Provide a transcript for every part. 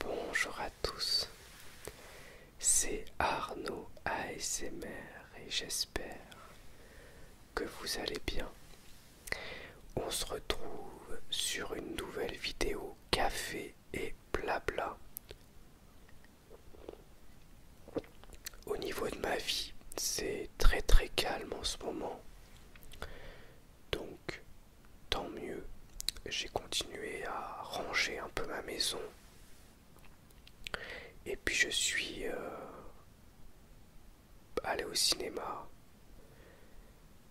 Bonjour à tous, c'est Arnaud ASMR et j'espère que vous allez bien. On se retrouve sur une nouvelle vidéo café et blabla au niveau de ma vie, c'est très très calme en ce moment. Donc, tant mieux. J'ai continué à ranger un peu ma maison. Et puis je suis euh, allé au cinéma.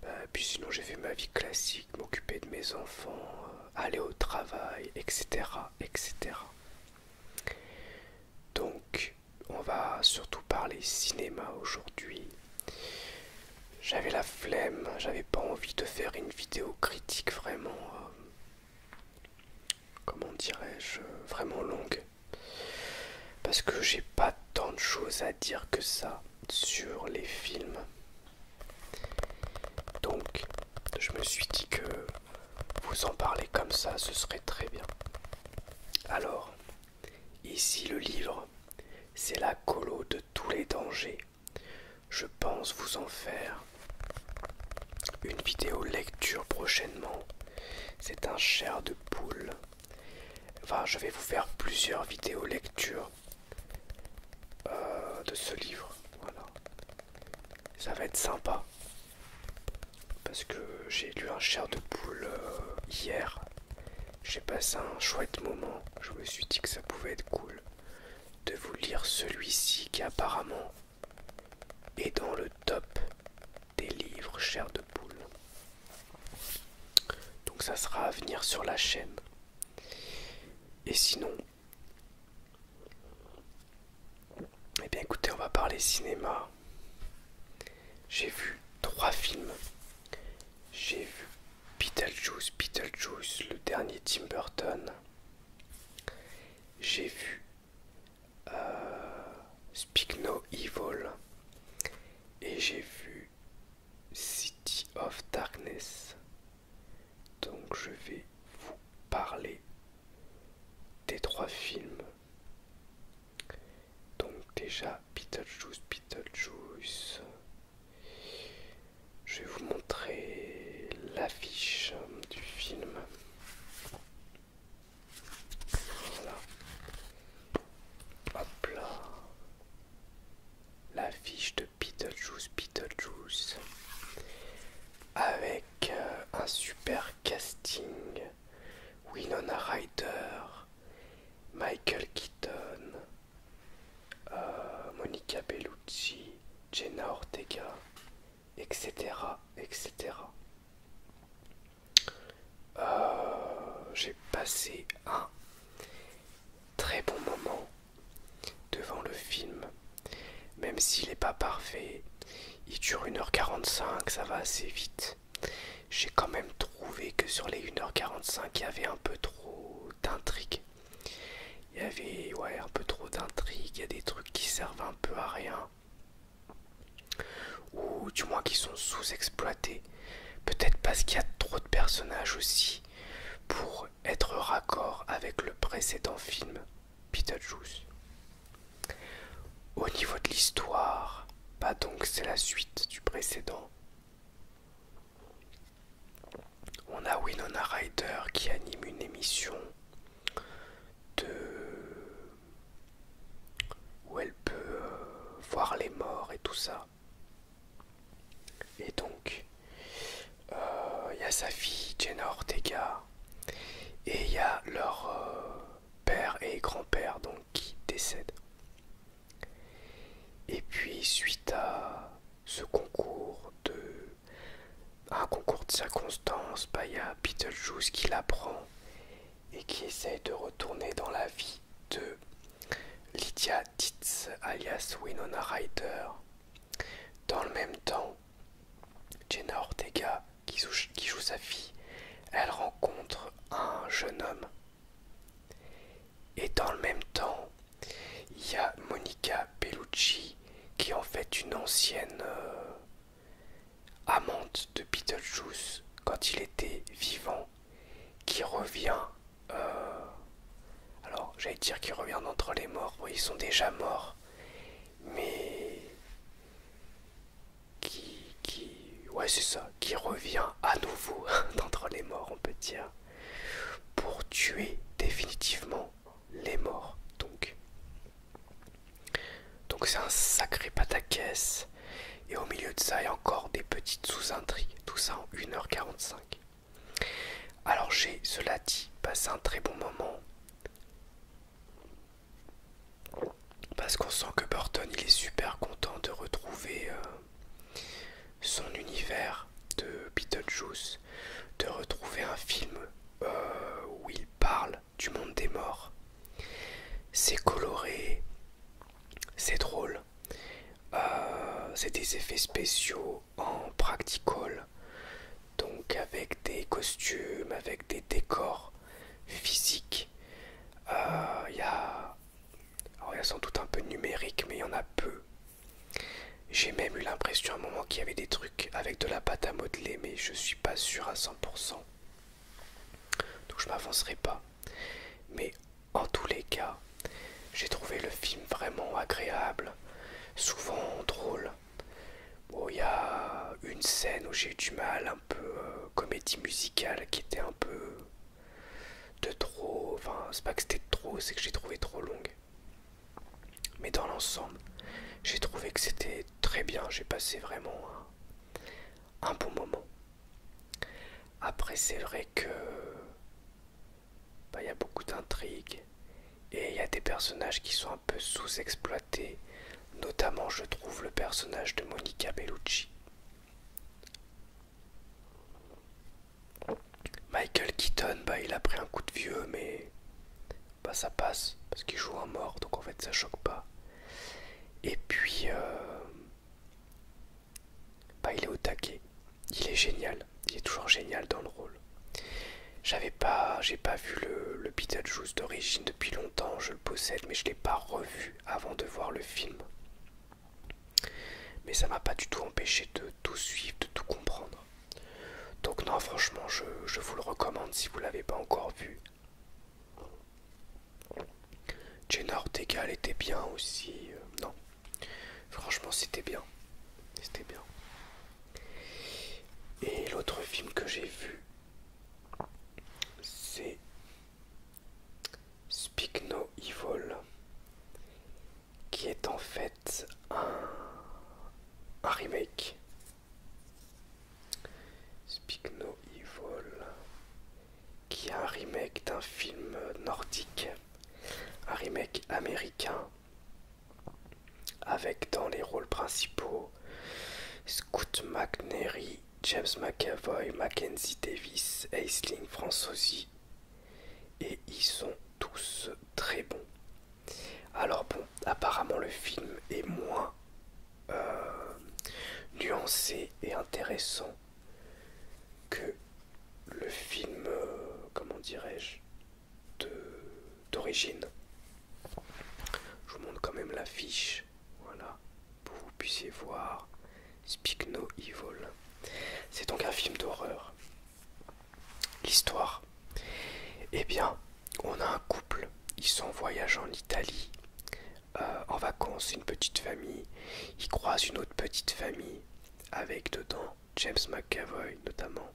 Euh, puis sinon j'ai fait ma vie classique, m'occuper de mes enfants, euh, aller au travail, etc. etc. Donc, on va surtout parler cinéma aujourd'hui. J'avais la flemme, j'avais pas envie de faire une vidéo critique vraiment. Euh, comment dirais-je Vraiment longue. Parce que j'ai pas tant de choses à dire que ça sur les films. Donc, je me suis dit que vous en parlez comme ça, ce serait très bien. Alors, ici le livre, c'est la colo de tous les dangers. Je pense vous en faire une vidéo lecture prochainement. C'est un cher de poule. Enfin, je vais vous faire plusieurs vidéos lectures euh, de ce livre. Voilà. Ça va être sympa. Parce que j'ai lu un cher de poule euh, hier. J'ai passé un chouette moment. Je me suis dit que ça pouvait être cool de vous lire celui-ci qui apparemment est dans le top des livres cher de poule. Donc ça sera à venir sur la chaîne. Et sinon, eh bien écoutez, on va parler cinéma. J'ai vu trois films. J'ai vu Beetlejuice, Beetlejuice, le dernier Tim Burton. J'ai vu euh, No Evil. Et j'ai vu City of Darkness. Donc je vais vous parler des trois films. Donc déjà Beetlejuice, Beetlejuice. Je vais vous montrer l'affiche du film. Voilà. Hop là. L'affiche de Beetlejuice, Beetlejuice. Avec euh, un super casting. Winona Ryder, Michael Keaton, euh, Monica Bellucci, Jenna Ortega, etc. etc. Euh, j'ai passé un très bon moment devant le film. Même s'il n'est pas parfait, il dure 1h45, ça va assez vite. J'ai quand même trouvé que sur les 1h45, il y avait un peu trop d'intrigue. Il y avait ouais, un peu trop d'intrigue, il y a des trucs qui servent un peu à rien. Ou du moins qui sont sous-exploités. Peut-être parce qu'il y a trop de personnages aussi pour être raccord avec le précédent film. Beetlejuice. Au niveau de l'histoire, bah donc c'est la suite du précédent. On a Winona Ryder qui anime une émission de où elle peut euh, voir les morts et tout ça. Et donc il euh, y a sa fille Jenna Ortega et il y a leur euh, père et grand-père donc qui décèdent. Et puis suite à ce concours de un concours de circonstances, il bah, y a Beetlejuice qui l'apprend et qui essaye de retourner dans la vie de Lydia Titz alias Winona Ryder dans le même temps, Jenna Ortega, qui joue, sa fille, elle rencontre un jeune homme. Et dans le même temps, il y a Monica Bellucci, qui est en fait une ancienne euh, amante de Beetlejuice quand il était vivant, qui revient. Euh, alors, j'allais dire qu'il revient d'entre les morts, mais ils sont déjà morts mais qui, ouais c'est ça, qui revient à nouveau d'entre les morts, on peut dire, pour tuer définitivement les morts. Donc, donc c'est un sacré pataquès. Et au milieu de ça, il y a encore des petites sous-intrigues. Tout ça en 1h45. Alors j'ai, cela dit, passé un très bon moment. Parce qu'on sent que Burton il est super content de retrouver euh, son univers de Beetlejuice, de retrouver un film euh, où il parle du monde des morts. C'est coloré, c'est drôle, euh, c'est des effets spéciaux, en practical, donc avec des costumes, avec des décors physiques. Il euh, y, a... sans doute un peu numérique, mais il y en a peu. J'ai même eu l'impression à un moment qu'il y avait des trucs avec de la pâte à modeler, mais je suis pas sûr à 100%. Donc je m'avancerai pas. Mais en tous les cas, j'ai trouvé le film vraiment agréable, souvent drôle, Bon, il y a une scène où j'ai eu du mal, un peu euh, comédie musicale qui était un peu de trop. Enfin, c'est pas que c'était trop, c'est que j'ai trouvé trop longue. Mais dans l'ensemble, j'ai trouvé que c'était très bien. J'ai passé vraiment un, bon moment. Après, c'est vrai que bah, il y a beaucoup d'intrigues, et il y a des personnages qui sont un peu sous-exploités, notamment je trouve le personnage de Monica Bellucci. Michael Keaton, bah, il a pris un coup de vieux, mais bah, ça passe, parce qu'il joue un mort, donc en fait ça choque pas. Et puis, euh, bah, il est au taquet, il est génial, il est toujours génial dans le rôle. J'avais pas, j'ai pas vu le, le Beetlejuice d'origine depuis longtemps, je le possède, mais je l'ai pas revu avant de voir le film. Mais ça m'a pas du tout empêché de tout suivre, de tout comprendre. Donc non, franchement, je, vous le recommande si vous l'avez pas encore vu. Jenner Ortega, était bien aussi. Euh, non, franchement, c'était bien. C'était bien. Et l'autre film que j'ai vu, c'est Spigno Evol qui est en fait un, remake. Spigno Evol qui est un remake d'un film nordique, un remake américain avec dans les rôles principaux Scott McNary, James McAvoy, Mackenzie Davis, Aisling Franzosi. et ils sont tous très bons. Alors bon, apparemment le film est moins euh, nuancé et intéressant que le film, euh, comment dirais-je, d'origine. Je vous montre quand même la fiche, voilà, pour vous puissiez voir Spigno No Evil. C'est donc un film d'horreur. L'histoire. Eh bien, on a un couple, ils sont en voyage en Italie, euh, en vacances, une petite famille, ils croisent une autre petite famille avec dedans James McAvoy notamment,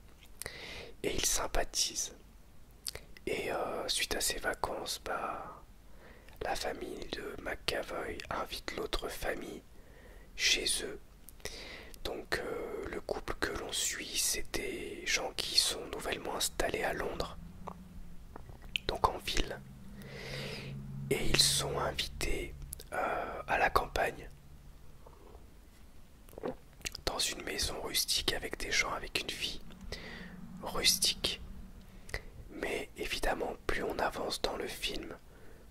et ils sympathisent. Et euh, suite à ces vacances, bah, la famille de McAvoy invite l'autre famille chez eux. Donc euh, le couple que l'on suit, c'est des gens qui sont nouvellement installés à Londres, donc en ville. Et ils sont invités euh, à la campagne dans une maison rustique avec des gens avec une vie rustique. Mais évidemment, plus on avance dans le film,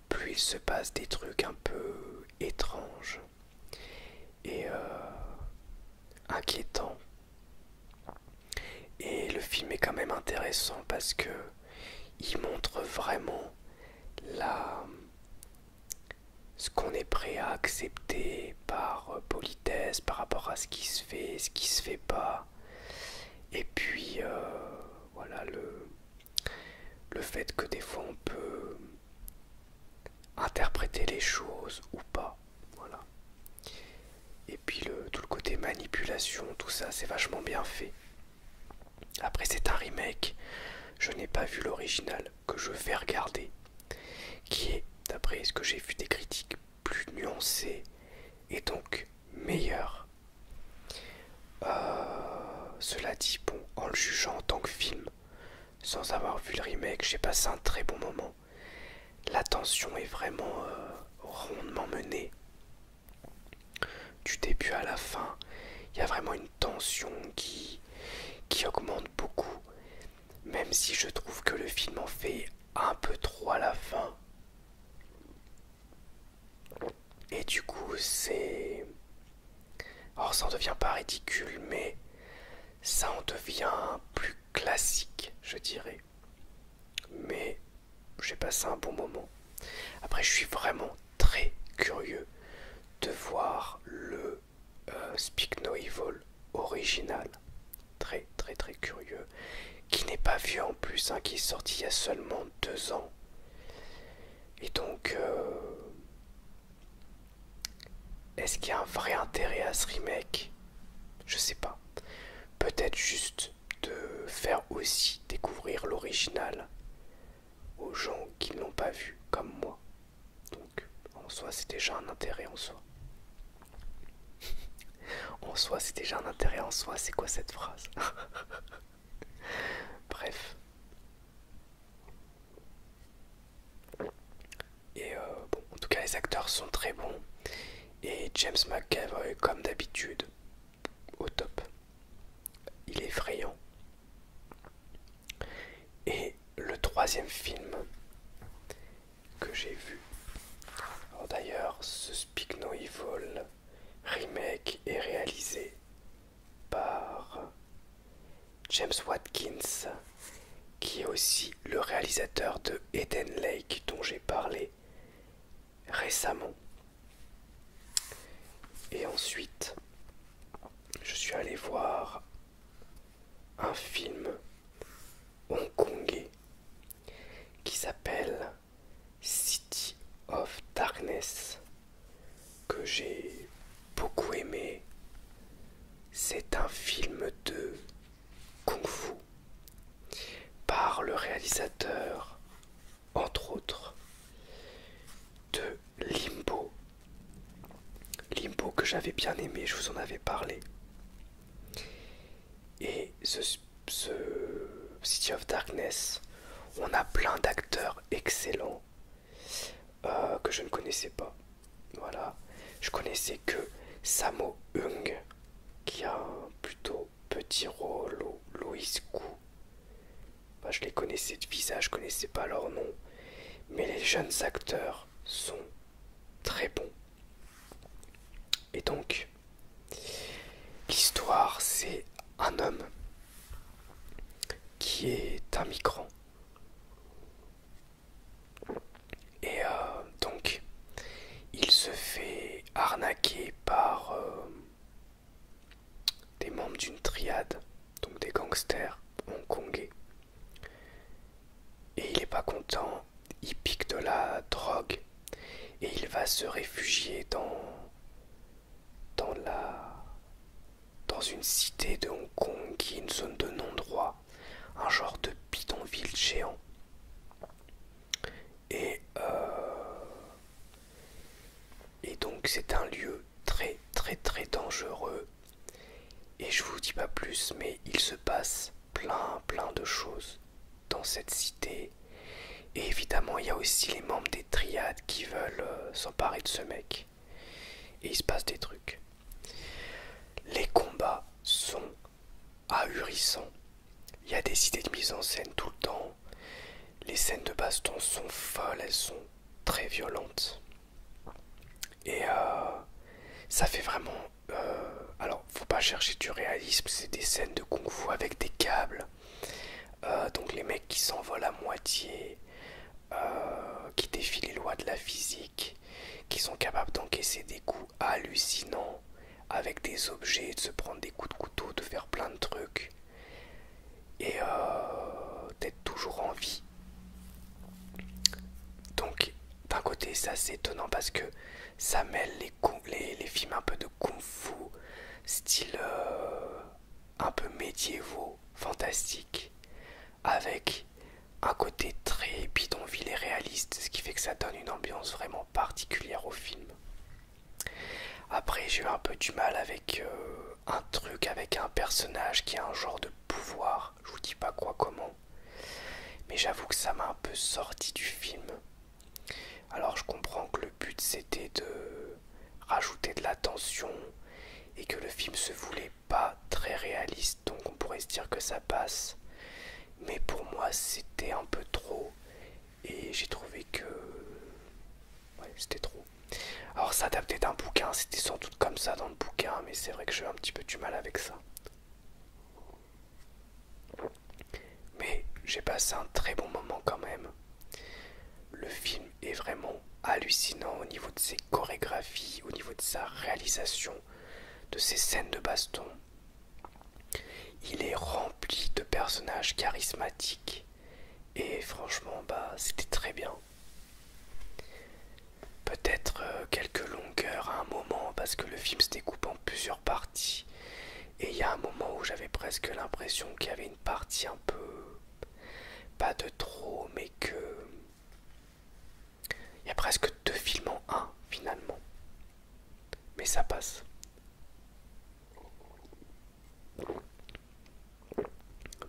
plus il se passe des trucs un peu étranges et euh, inquiétants. Et le film est quand même intéressant parce que il montre vraiment la ce qu'on est prêt à accepter par euh, politesse par rapport à ce qui se fait, ce qui se fait pas. Et puis euh, voilà le, le fait que des fois on peut interpréter les choses ou pas. Voilà. Et puis le, tout le côté manipulation, tout ça, c'est vachement bien fait. Après c'est un remake, je n'ai pas vu l'original, que je vais regarder, qui est, d'après ce que j'ai vu des critiques, plus nuancées et donc meilleur. Euh, cela dit, bon, en le jugeant en tant que film, sans avoir vu le remake, j'ai passé un très bon moment. la tension est vraiment euh, rondement menée. Du début à la fin, il y a vraiment une tension qui, qui augmente beaucoup, même si je trouve que le film en fait un peu trop à la fin. Et du coup, c'est. Or, ça en devient pas ridicule, mais ça en devient plus classique, je dirais. Mais j'ai passé un bon moment. Après, je suis vraiment très curieux de voir le euh, Speak Evil original, très très très curieux, qui n'est pas vieux en plus, hein, qui est sorti il y a seulement deux ans. Et donc, euh, est-ce qu'il y a un vrai intérêt à ce remake Je sais pas. Peut-être juste de faire aussi découvrir l'original aux gens qui n'ont pas vu, comme moi. Donc, en soi, c'est déjà un intérêt en soi. en soi, c'est déjà un intérêt en soi. C'est quoi cette phrase Bref. Et euh, bon, en tout cas, les acteurs sont très bons. Et James McAvoy, comme d'habitude, au top. Il est effrayant. Et le troisième film que j'ai vu, d'ailleurs ce Speak No remake est réalisé par James Watkins qui est aussi le réalisateur de Eden Lake dont j'ai parlé récemment. Et ensuite, je suis allé voir un film hongkongais qui s'appelle City of Darkness que j'ai beaucoup aimé. C'est un film de kung fu par le réalisateur, entre autres, de Limbo. Limbo que j'avais bien aimé, je vous en avais parlé. Et ce, City of Darkness, on a plein d'acteurs excellents euh, que je ne connaissais pas. Voilà, je connaissais que Samo Hung, qui a un plutôt petit rôle, au Louis Kou. Bah, je les connaissais de visage, je connaissais pas leur nom mais les jeunes acteurs sont très bons. Et donc, l'histoire, c'est un homme qui est un migrant. Et euh, donc, il se fait arnaquer par euh, des membres d'une triade, donc des gangsters hongkongais, et il n'est pas content, il pique de la drogue et il va se réfugier dans, dans, la, dans une cité de Hong Kong qui est une zone de non-droit, un genre de bidonville géant. Et, euh, et donc c'est un lieu très très très dangereux et je vous dis pas plus, mais il se passe plein, plein de choses dans cette cité. Et évidemment, il y a aussi les membres des triades qui veulent euh, s'emparer de ce mec. Et il se passe des trucs. Les combats sont ahurissants. Il y a des idées de mise en scène tout le temps. Les scènes de baston sont folles, elles sont très violentes. Et euh, ça fait vraiment... Euh, alors, faut pas chercher du réalisme, c'est des scènes de kung-fu avec des câbles. Euh, donc les mecs qui s'envolent à moitié, qui défient les lois de la physique, qui sont capables d'encaisser des coups hallucinants avec des objets, de se prendre des coups de couteau, de faire plein de trucs. Et d'être toujours en vie donc, d'un côté, ça c'est étonnant parce que ça mêle les, films un peu de kung-fu, style euh, un peu médiévaux, fantastique, avec un côté très bidonville et réaliste, ce qui fait que ça donne une ambiance vraiment particulière au film. Après, j'ai eu un peu du mal avec euh, un truc, avec un personnage qui a un genre de pouvoir je vous dis pas quoi comment. Mais j'avoue que ça m'a un peu sorti du film. Alors je comprends que le but c'était de rajouter de la tension et que le film se voulait pas très réaliste, donc on pourrait se dire que ça passe. Mais pour moi c'était un peu trop et j'ai trouvé que c'était trop. Alors ça s'adapter un bouquin, c'était sans doute comme ça dans le bouquin, mais c'est vrai que j'ai un petit peu du mal avec ça. Mais j'ai passé un très bon moment quand même. Le film est vraiment hallucinant au niveau de ses chorégraphies, au niveau de sa réalisation, de ses scènes de baston. Il est rempli de personnages charismatiques et franchement bah c'était très bien. Peut-être euh, quelques longueurs à un moment parce que le film se découpe en plusieurs parties. Et il y a un moment où j'avais presque l'impression qu'il y avait une partie un peu... Pas de trop, mais que... Il y a presque deux films en un finalement. Mais ça passe.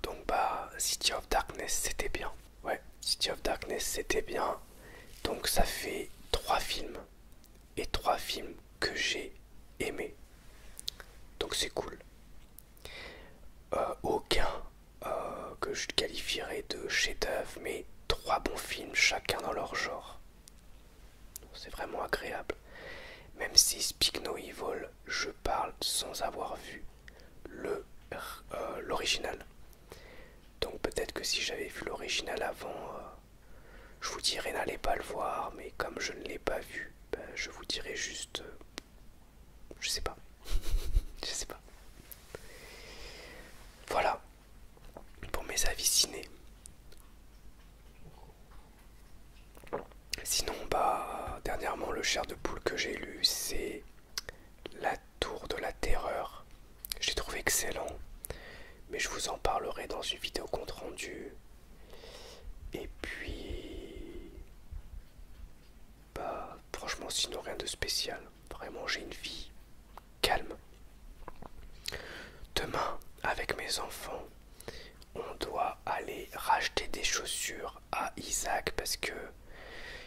Donc bah City of Darkness c'était bien. Ouais, City of Darkness c'était bien. Donc ça fait trois films. Et trois films que j'ai aimés. Donc c'est cool. Euh, aucun euh, que je qualifierais de chef-d'œuvre, mais trois bons films chacun dans leur genre. C'est vraiment agréable. Même si Speak No Evil je parle sans avoir vu euh, l'original. Donc peut-être que si j'avais vu l'original avant, euh, je vous dirais n'allez pas le voir, mais comme je ne l'ai pas vu, ben, je vous dirais juste... Euh, je sais pas. je sais pas. Voilà pour mes avis ciné. Sinon, bah, dernièrement, le chair de poule que j'ai lu, c'est la Tour de la Terreur, j'ai trouvé excellent, mais je vous en parlerai dans une vidéo compte rendu. Et puis, bah, franchement, sinon rien de spécial. Vraiment, j'ai une vie calme. Demain, avec mes enfants, on doit aller racheter des chaussures à Isaac parce que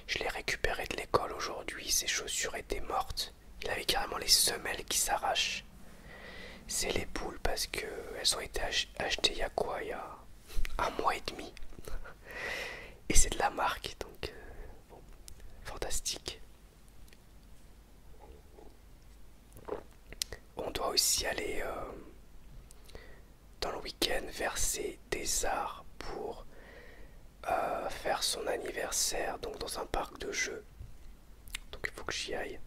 je l'ai récupéré de l'école aujourd'hui. Ses chaussures étaient mortes. Il avait carrément les semelles qui s'arrachent. C'est les poules parce que elles ont été achetées il y a quoi Il y a un mois et demi. Et c'est de la marque, donc euh, fantastique. On doit aussi aller euh, dans le week-end verser des arts pour euh, faire son anniversaire donc dans un parc de jeux. Donc il faut que j'y aille.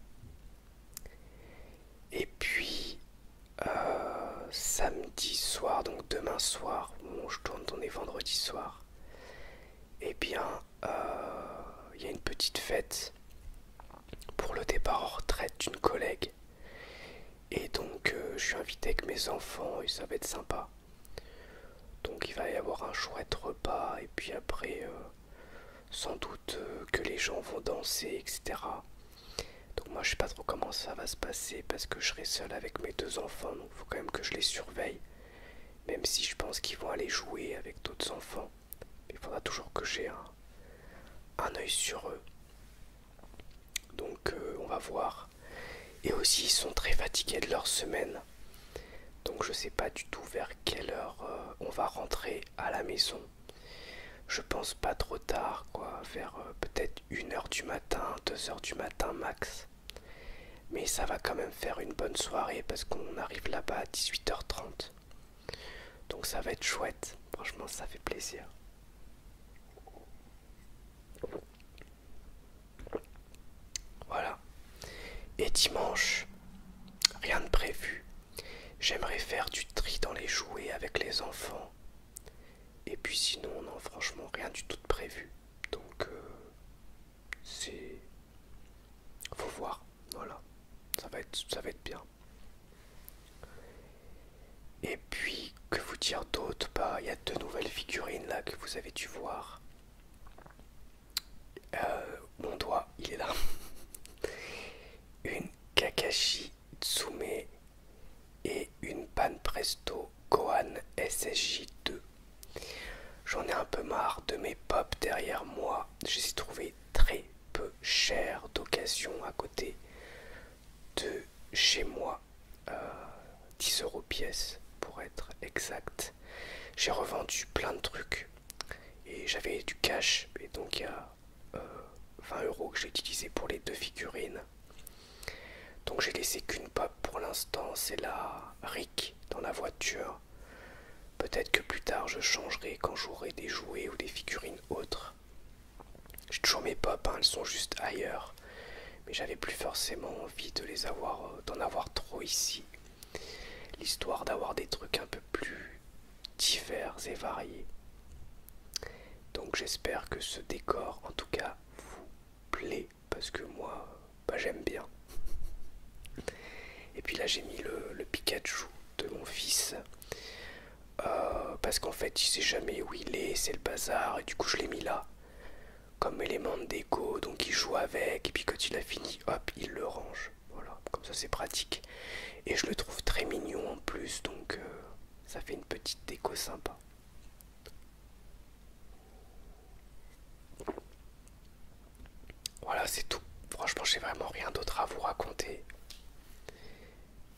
Et puis euh, samedi soir, donc demain soir, bon, je tourne, on est vendredi soir. et eh bien, euh, il y a une petite fête pour le départ en retraite d'une collègue et donc euh, je suis invité avec mes enfants et ça va être sympa. Donc il va y avoir un chouette repas et puis après euh, sans doute euh, que les gens vont danser, etc. Donc moi je sais pas trop comment ça va se passer parce que je serai seul avec mes deux enfants, donc il faut quand même que je les surveille. Même si je pense qu'ils vont aller jouer avec d'autres enfants. il faudra toujours que j'ai un, un œil sur eux. Donc euh, on va voir. Et aussi ils sont très fatigués de leur semaine. Donc je sais pas du tout vers quelle heure euh, on va rentrer à la maison. Je pense pas trop tard, quoi, vers euh, peut-être 1 heure du matin, 2 heures du matin max. Mais ça va quand même faire une bonne soirée parce qu'on arrive là-bas à 18h30. Donc ça va être chouette, franchement ça fait plaisir. Voilà. Et dimanche, rien de prévu. J'aimerais faire du tri dans les jouets avec les enfants. Et puis sinon, non, franchement, rien du tout de prévu. Donc, euh, c'est... Faut voir. Voilà. ça va être bien. Et puis, que vous dire d'autre bah, Il y a deux nouvelles figurines là que vous avez dû voir. Euh, mon doigt, il est là. Une Kakashi Tsume et une Pan Presto Gohan SSJ2. J'en ai un peu marre de mes pop derrière moi. Je les ai très peu chers d'occasion à côté de chez moi. 10 euh, euros pièce pour être exact. J'ai revendu plein de trucs et j'avais du cash et donc il y a 20 euh, euros que j'ai utilisé pour les deux figurines. Donc j'ai laissé qu'une pop pour l'instant, c'est la Rick dans la voiture. Peut-être que plus tard je changerai quand j'aurai des jouets ou des figurines autres. J'ai toujours mes pop, hein, elles sont juste ailleurs. Mais j'avais plus forcément envie de les avoir, euh, d'en avoir trop ici. L'histoire d'avoir des trucs un peu plus divers et variés. Donc j'espère que ce décor, en tout cas, vous plaît. Parce que moi, bah, j'aime bien. Et puis là, j'ai mis le Pikachu de mon fils. Euh, parce qu'en fait, il sait jamais où il est, c'est le bazar, et du coup, je l'ai mis là comme élément de déco, donc il joue avec, et puis quand il a fini, hop, il le range. Voilà, comme ça c'est pratique. Et je le trouve très mignon en plus, donc euh, ça fait une petite déco sympa. Voilà, c'est tout. Franchement, j'ai vraiment rien d'autre à vous raconter.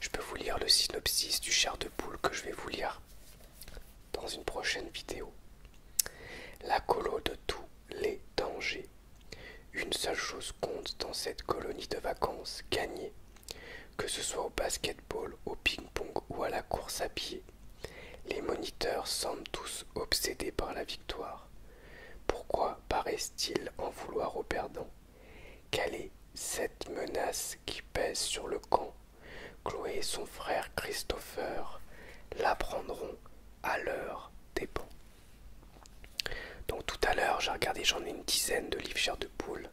Je peux vous lire le synopsis du char de poule que je vais vous lire dans une prochaine vidéo. La colo de tous les dangers. Une seule chose compte dans cette colonie de vacances, gagner. Que ce soit au basketball, au ping-pong ou à la course à pied, les moniteurs semblent tous obsédés par la victoire. Pourquoi paraissent-ils en vouloir au perdant quelle est cette menace qui pèse sur le camp Chloé et son frère Christopher l'apprendront à l'heure des Donc tout à l'heure, j'ai regardé, j'en ai une dizaine de livres chers de poule,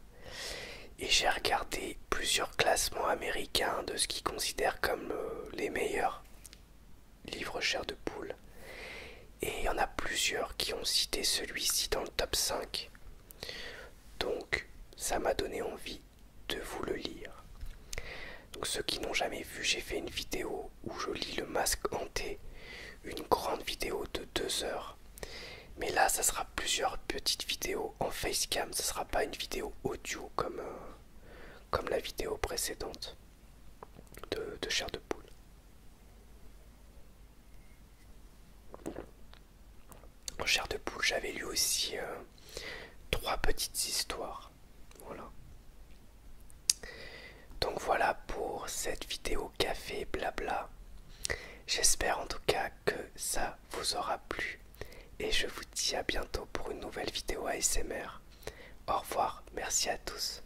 et j'ai regardé plusieurs classements américains de ce qu'ils considèrent comme euh, les meilleurs livres chers de poule. Et il y en a plusieurs qui ont cité celui-ci dans le top 5. Donc, ça m'a donné envie de vous le lire. Donc, ceux qui n'ont jamais vu, j'ai fait une vidéo où je lis le masque hanté, une grande vidéo de deux heures. Mais là, ça sera plusieurs petites vidéos en facecam, ça sera pas une vidéo audio comme, euh, la vidéo précédente de, de chair de poule en cher de poule, j'avais lu aussi euh, trois petites histoires. Voilà. Donc voilà pour cette vidéo café blabla. J'espère en tout cas que ça vous aura plu et je vous dis à bientôt pour une nouvelle vidéo ASMR. Au revoir, merci à tous.